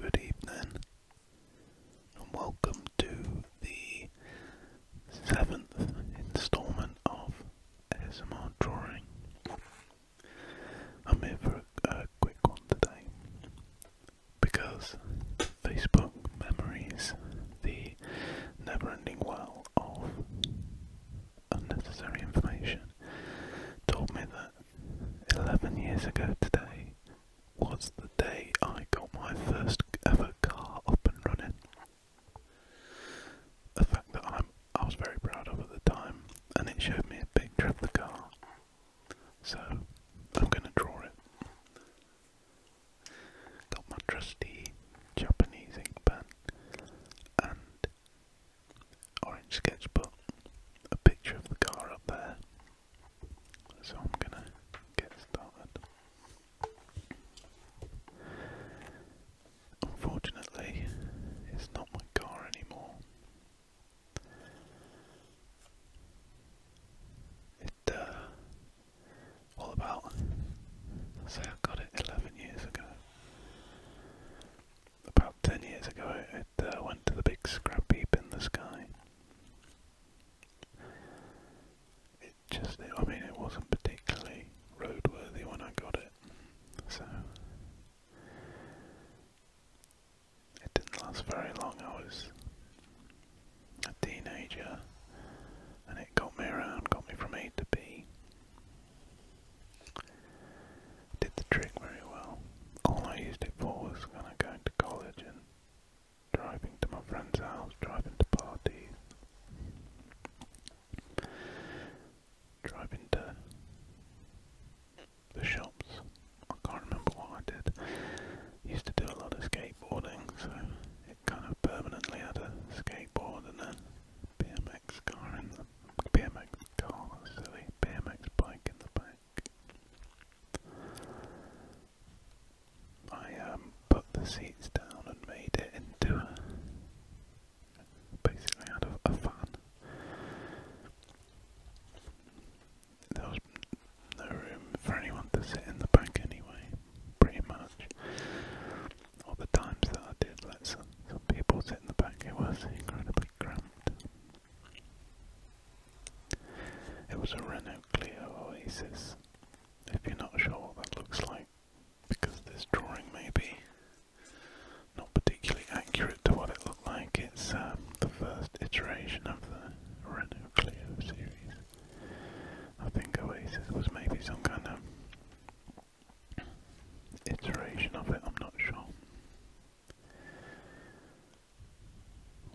Good evening, and welcome to the seventh instalment of ASMR Drawing. I'm here a, quick one today because Facebook memories the never ending well of unnecessary information told me that 11 years ago today was the day I got my first ever car up and running. A fact that I'm, I was very proud of at the time, and it showed me a picture of the car. So I'm going to draw it. Got my trusty Japanese ink pen and orange sketchbook, a picture of the car up there. So I'm gonna get started. Unfortunately, it's not my car anymore. It, uh, all about, say I got it 11 years ago about 10 years ago it uh, went to the big scrap heap in the sky. It just, I mean it wasn't particularly roadworthy when I got it, so it didn't last very long. I was a teenager and it got me around, got me from A to B did the trick very well. All I used it for was when I going to college and driving to my friend's house, driving to parties, driving to the shops. I can't remember what I did. used to do a lot of skateboarding, so it kind of permanently had a skateboard and then BMX car in the BMX Oh, silly BMX bike in the back. I um, put the seats down and made it into basically out of a fan. There was no room for anyone to sit in the back anyway, pretty much. All the times that I did let some, people sit in the back, it was incredible. It was a Renault Clio Oasis. If you're not sure what that looks like, because this drawing may be not particularly accurate to what it looked like, it's um, the first iteration of the Renault Clio series. I think Oasis was maybe some kind of iteration of it, I'm not sure.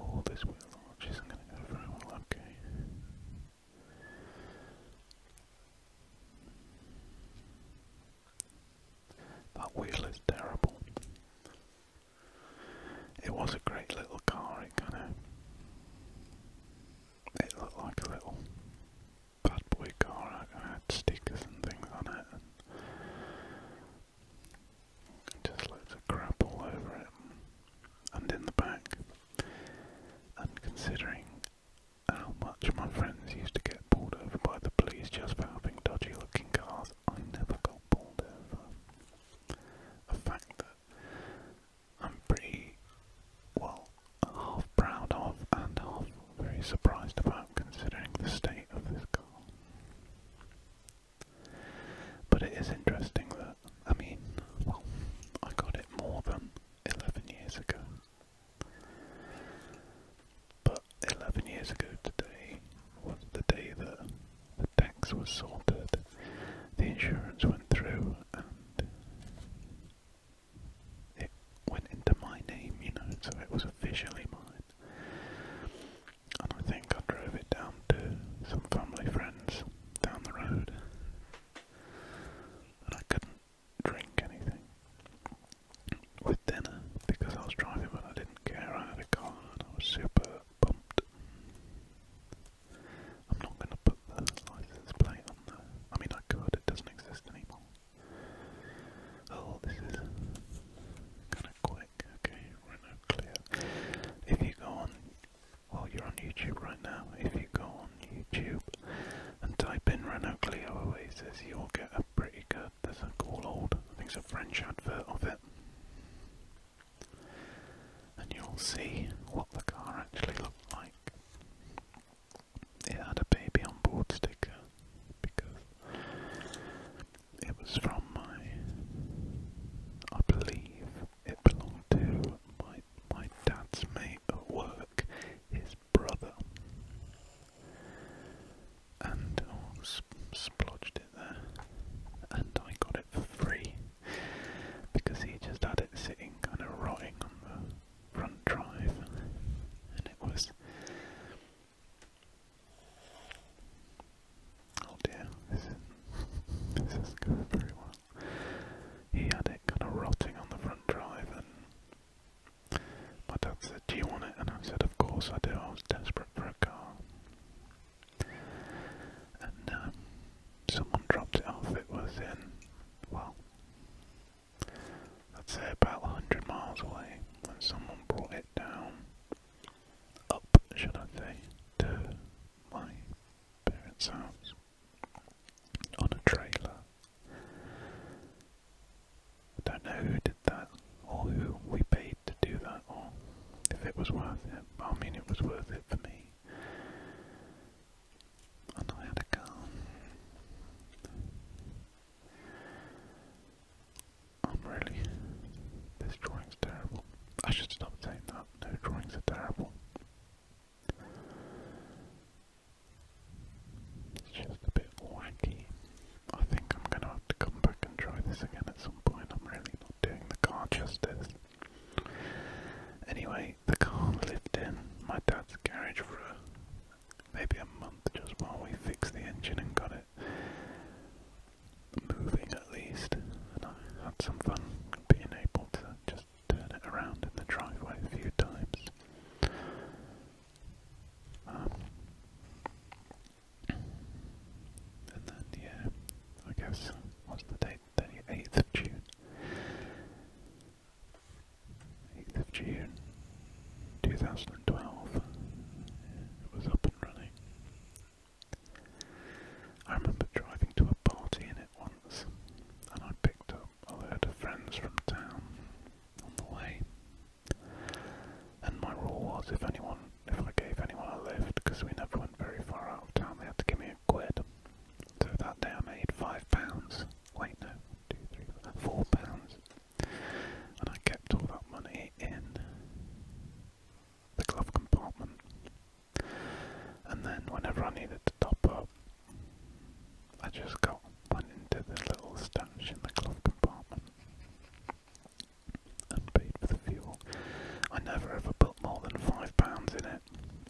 Oh, this wheel arch isn't going very well, okay. That wheel is terrible. It was a great little car, it kind of. It looked like a little bad boy car. I had stickers and things on it, just loads of crap all over it, and in the back. And considering how much my friends used to get pulled over by the police just for having dodgy-looking cars, I never got pulled over. A fact that I'm pretty well half proud of and half very surprised about considering the state of this car. But it is interesting that, I mean, well, I got it more than 11 years ago. But 11 years ago today was the day that the tax was sorted, the insurance went through, and went into my name, you know, so it was officially mine. And I think I drove it down to some family friends down the road. And I couldn't drink anything with dinner because I was driving but I didn't care. I had a car and I was super pumped. I'm not going to put the license plate on there. I mean, I could, it doesn't exist anymore. Oh, this is kind of quick. Okay, right now clear. If you go on, well, you're on YouTube right now. If you go on YouTube and type in Renault Clio Oasis, you'll get a pretty good. There's a cool old, I think it's a French advert of it, and you'll see what the car actually looked like. It had a baby on board sticker, because it was from my, I believe it belonged to my my dad's mate at work, his brother, and oh, splodged it there, and I got it for free because he just had it sitting kind of rotting on the front drive, and it was Oh dear, this is going very well. He had it kind of rotting on the front drive and my dad said, do you want it? And I said, of course I do, I was desperate for a car. And um, someone dropped it off, it was in, well, I'd say about 100 miles away when someone brought it down, up, should I say, to my parents' house on a trailer. I don't know who did that or who we paid to do that or if it was worth it. I mean, it was worth it for me. And I had a car. I'm really. This drawing's terrible. I should stop taking that. No drawings are terrible. It's just a bit wacky. I think I'm gonna have to come back and try this again at some point. I'm really not doing the car justice. Anyway, the car lived in my dad's garage for maybe a month just while we fixed the engine and got moving at least. And I had some fun being able to just turn it around in the driveway a few times. Um, and then, yeah, I guess, what's the date? The of June. 8th of June, 2012, it was up and running. I remember driving to a party in it once, and I picked up a load of friends from town on the way. And my rule was if anyone, if I gave anyone a lift, because we never went very far out of town, they had to give me a quid. So that day I made five pounds. Wait, no, two, three, four pounds and I kept all that money in the glove compartment. And then, whenever I needed to top up, I just got went into the little stash in the glove compartment and paid for the fuel. I never ever put more than five pounds in it.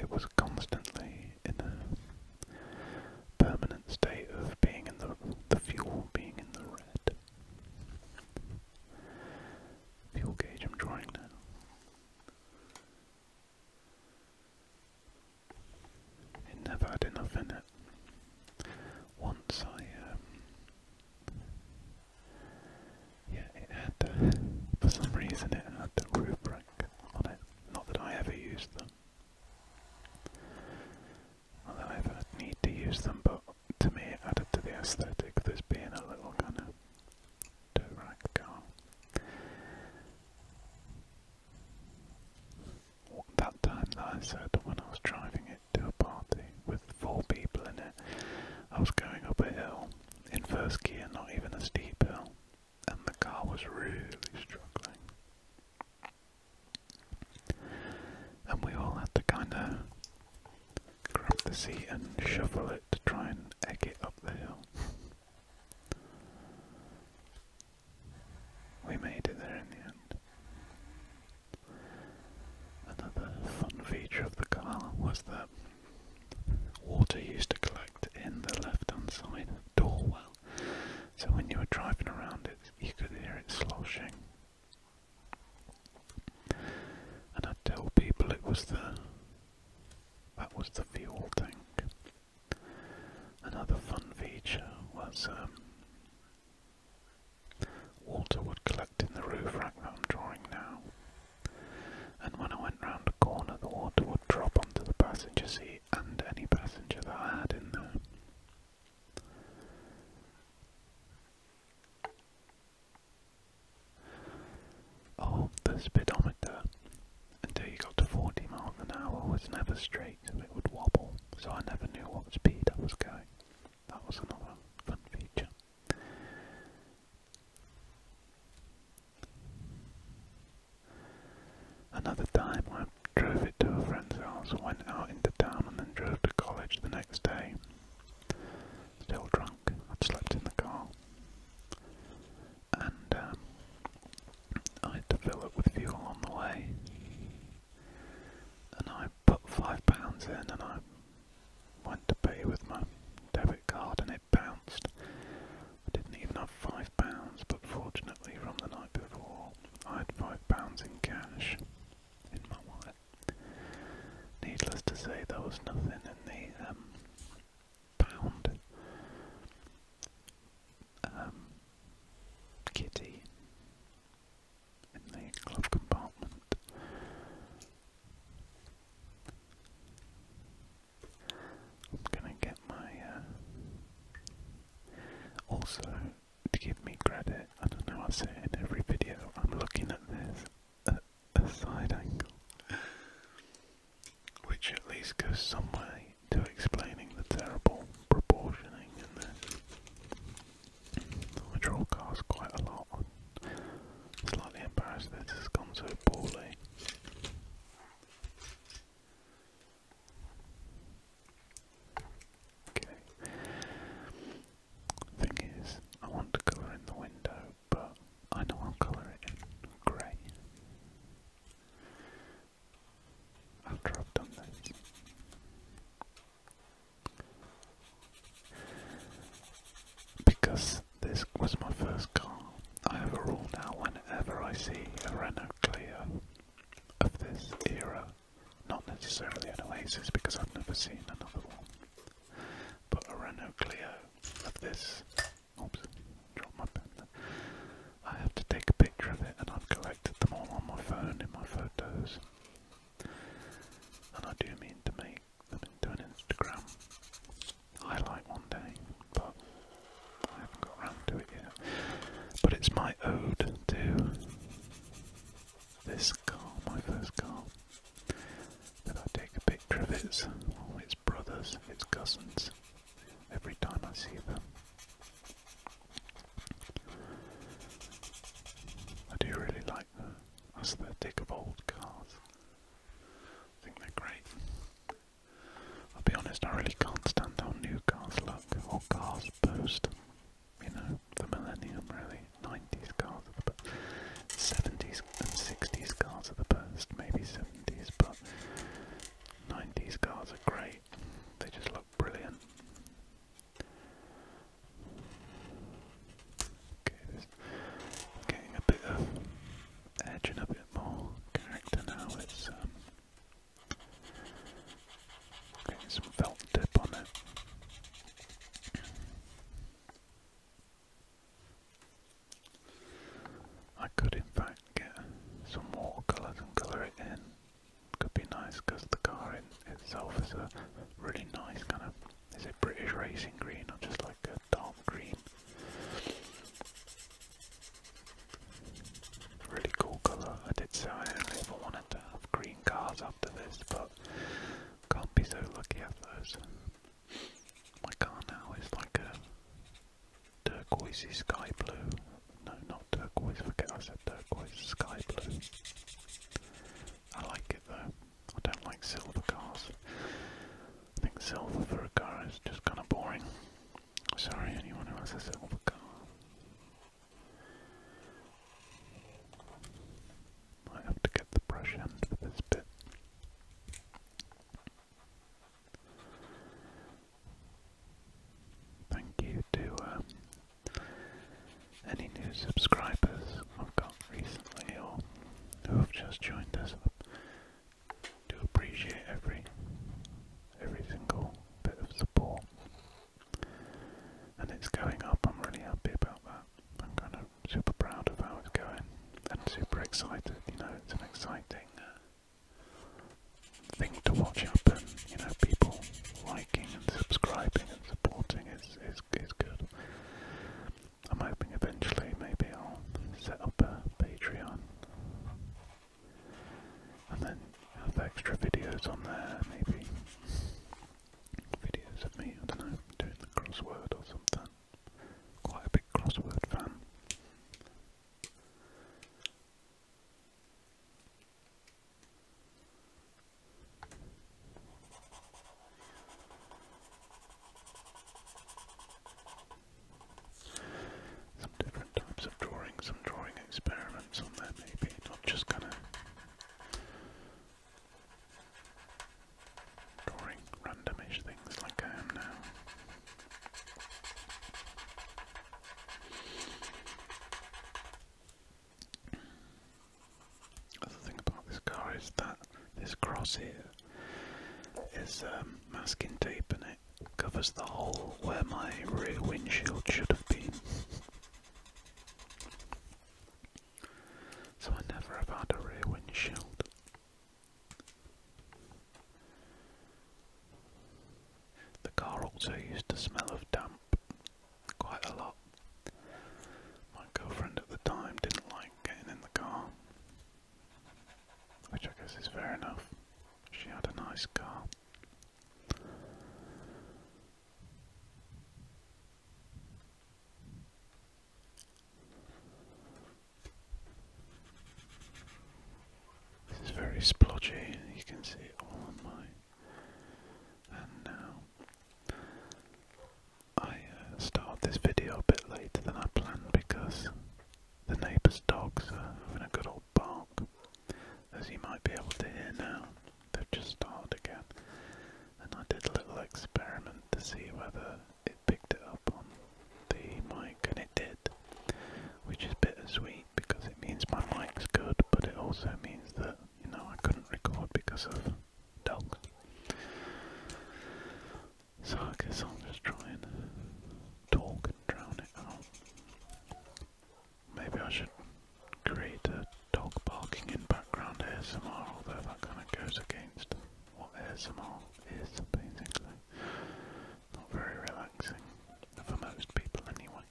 It was constantly in a permanent state of being in the the fuel being in the red. Fuel gauge I'm drawing that. It never had enough in it. Once I, um, yeah, it had for some reason it had the roof rack on it. Not that I ever used them. I don't need to use them, but to me it added to the aesthetic of this being a little kind of direct car. That time that I said when I was driving it to a party with four people in it, I was going up a hill in first gear, not even a steep hill, and the car was really struggling. And we all had to kind of grab the seat and shovel it to try and egg it up the hill. We made it there in the end. Another fun feature of the car was that water used to collect in the left hand side door well. So when you were driving around it, you could hear it sloshing and i tell people it was the that was the fuel tank. Another fun feature was um, water would collect in the roof rack that I'm drawing now. And when I went round a corner, the water would drop onto the passenger seat and any passenger that I had in there. Oh, the speedometer, until you got to 40 miles an hour, was never straight, it would wobble, so I never knew what speed I was going. That was another fun feature. Another time drove it to a friend's house, went out into town, and then drove to college the next day. Still drunk, I'd slept in the car. And um, I had to fill up with fuel on the way. And I put five pounds in and I went to pay with my debit card and it bounced. I didn't even have five pounds, but fortunately from the night before I had five pounds in cash. Needless to say, there was nothing in the um, pound. Um, kitty in the glove compartment. I'm gonna get my. Uh, also, to give me credit. I don't know, I say in every video. I'm looking at this at a side angle, which at least goes some way to explaining the terrible proportioning in this, which all costs quite a lot. slightly embarrassed that this has gone so poorly. Okay. Thing is, I want to colour in the window, but I know I'll colour it in grey. I've done this. Because this was my first car, I have a rule now whenever I see a Renault Clio of this era not necessarily an oasis, because I've never seen another one. But a Renault Clio of this. Oops, dropped my pen I have to take a picture of it, and I've collected them all on my phone in my photos. And I do mean to make them into an Instagram highlight one day, but I haven't got around to it yet. But it's my ode to this car, my first car. Then I take a picture of its, all its brothers, its cousins, every time I see them. I do really like the aesthetic of old cars. I think they're great. I'll be honest, I really can't stand how new cars look or cars post. You know, the millennium really. 90s cars are the best. 70s and 60s cars are the best. Maybe 70s, but 90s cars are great. They just look brilliant. Okay, this getting a bit of edge and a bit more character now. It's um, Okay, some felt tip on it. I could in fact get some watercolours and colour it in. Could be nice because the car itself is a really nice kind of, is it British racing green or just like a dark green? Really cool colour. I did say I only ever wanted to have green cars after this, but can't be so lucky at those. My car now is like a turquoisey sky blue. No, not turquoise, forget I said turquoise, sky blue. I like it though. I don't like silver cars. I think silver for a car is just kind of boring. Sorry, anyone who has a silver car. I have to get the brush end for this bit. Thank you to um, any new subscribers I've got recently or who have just joined us. do appreciate every every single bit of support and it's going up. I'm really happy about that. I'm kind of super proud of how it's going and super excited. You know, it's an exciting uh, thing to watch happen. You know, people liking and subscribing and supporting is is is good. I'm hoping eventually maybe I'll set up a Patreon and then have extra videos on there. Maybe videos of me, I don't know, doing the crossword or something. Quite a big crossword fan. Some different types of drawing, some drawing experiments on there maybe, not just kind of Drawing randomish things like I am now. Other thing about this car is that this cross here is um, masking tape and it covers the hole where my rear windshield should have been. So I never have had a rear windshield. The car also used to smell of damp quite a lot. My girlfriend at the time didn't like getting in the car, which I guess is fair enough. She had a nice car. This is very splodgy, you can see it all on my And now. I uh, started this video a bit later than I planned because the neighbour's dogs are having a good old bark. As you might be able to hear now, they've just started again and I did a little experiment to see whether it picked it up on the mic, and it did, which is bittersweet because it means my mic's good, but it also means that you know I couldn't record because of dogs. So I guess i am just trying to talk and drown it out. Maybe I should create a dog barking in background ASMR, although that kind of goes against what ASMR is, basically. Not very relaxing, for most people anyway.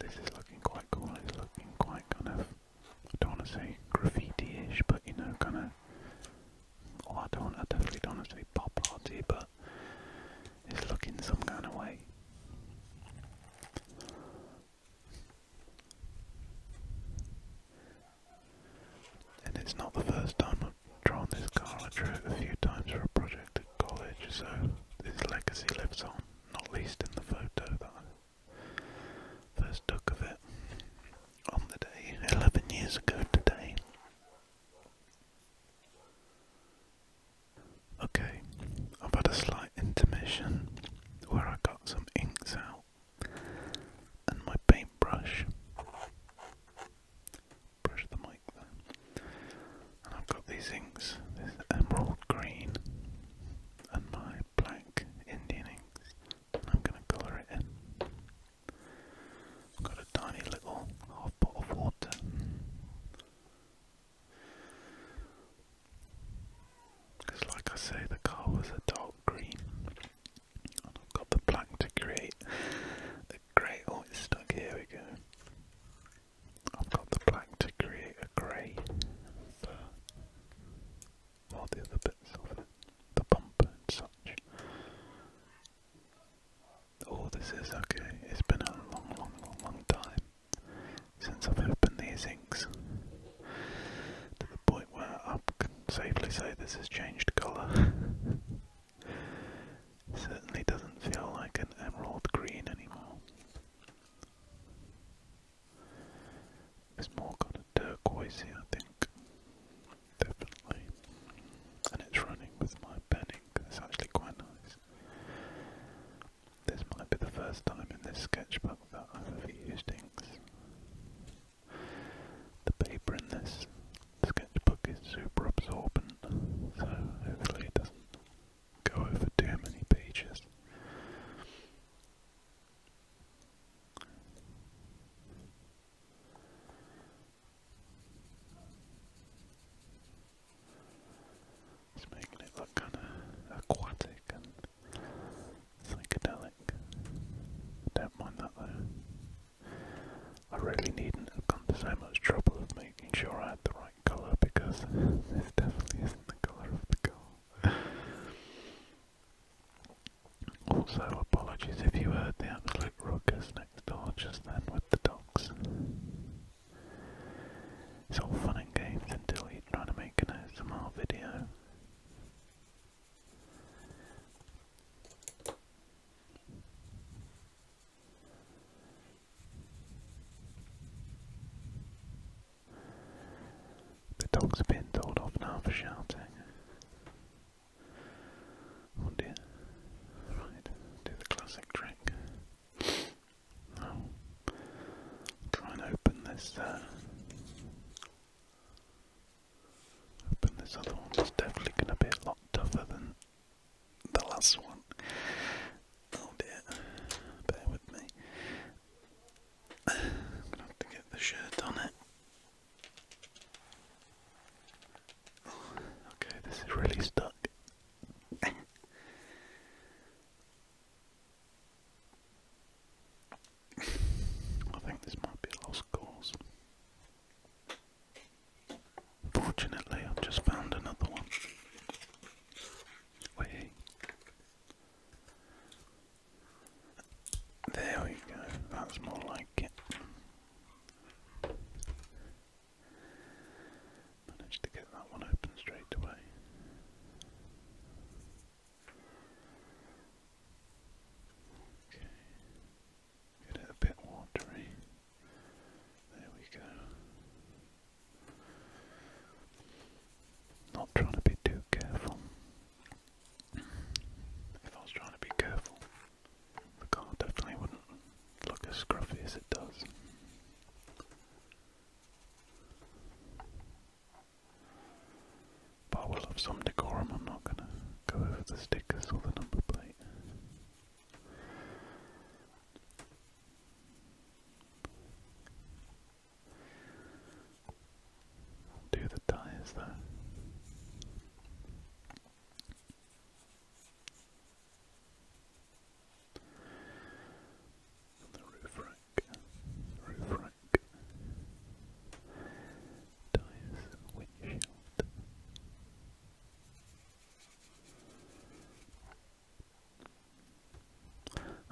This is looking quite cool, it's looking quite kind of I don't want to say graffiti-ish, but you know, kind of. I don't. I definitely don't want to say pop arty, but it's looking some kind of way. And it's not the first time I've drawn this car. I drew it a few times for a project at college, so this legacy lives on, not least in the photo that First took of it on the day, 11 years ago today. Okay, I've had a slight intermission where I got some inks out and my paintbrush. Brush the mic there. I've got these inks, this emerald green and my black Indian inks. I'm going to colour it in. I've got a tiny little half pot of water. Because, like I say, the car was a dark green, I've got the black to create a grey. Oh, it's stuck. Here we go. I've got the black to create a grey all the other bits of it, the bumper and such. Oh, this is okay. It's been a long, long, long, time since I've opened these inks to the point where I can safely say this has changed colour. Certainly doesn't feel like an emerald green anymore. It's more kind of turquoisey, I think. Definitely. And it's running with my pen It's actually quite nice. This might be the first time in this sketchbook that I've ever used ink. The paper in this sketchbook is super absorbent, so hopefully it doesn't go over too many pages. It's making it look kind of aquatic and psychedelic. Don't mind that though. I really needn't have gone to so much trouble of making sure I had the right colour because this definitely isn't the colour of the goal. Also, apologies if you heard the absolute ruckus next door just then with the dogs. It's all fun and games until you're trying to make an ASMR video. The dogs have been told off now for shouting. Oh dear. do the classic trick. i try and open this, uh, open this other one. It's definitely going to be a lot tougher than the last one. Oh dear, bear with me have to get the shirt on it. Oh, okay, this is really stuck. I think this might be lost cause. Fortunately, I've just found another one. Wait. There we go, that's more like it. Managed to get that one open straight away. Get it a bit watery. There we go. Not trying to be too careful. If I was trying to be careful, the car definitely wouldn't look as scruffy as it does. But I will have some decorum, I'm not going to go over the stickers or the number plate. I'll do the tires though. the roof rack, roof rack, tires, windshield.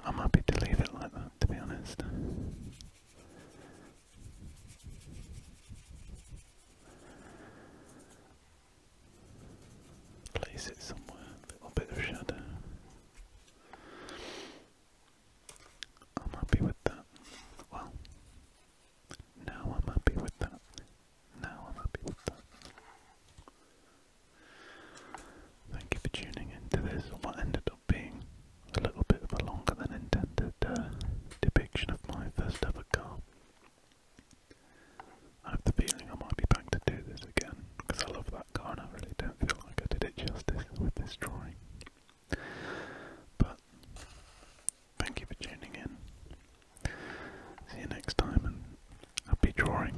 I'm happy to leave it like that, to be honest. Place it somewhere, a little bit of shadow. I'm happy with that. Well, now I'm happy with that. Now I'm happy with that. Thank you for tuning into this. What ended being a little bit of a longer than intended uh, depiction of my first ever car. I have the feeling I might be back to do this again because I love that car and I really don't feel like I did it justice with this drawing. But thank you for tuning in. See you next time and happy drawing.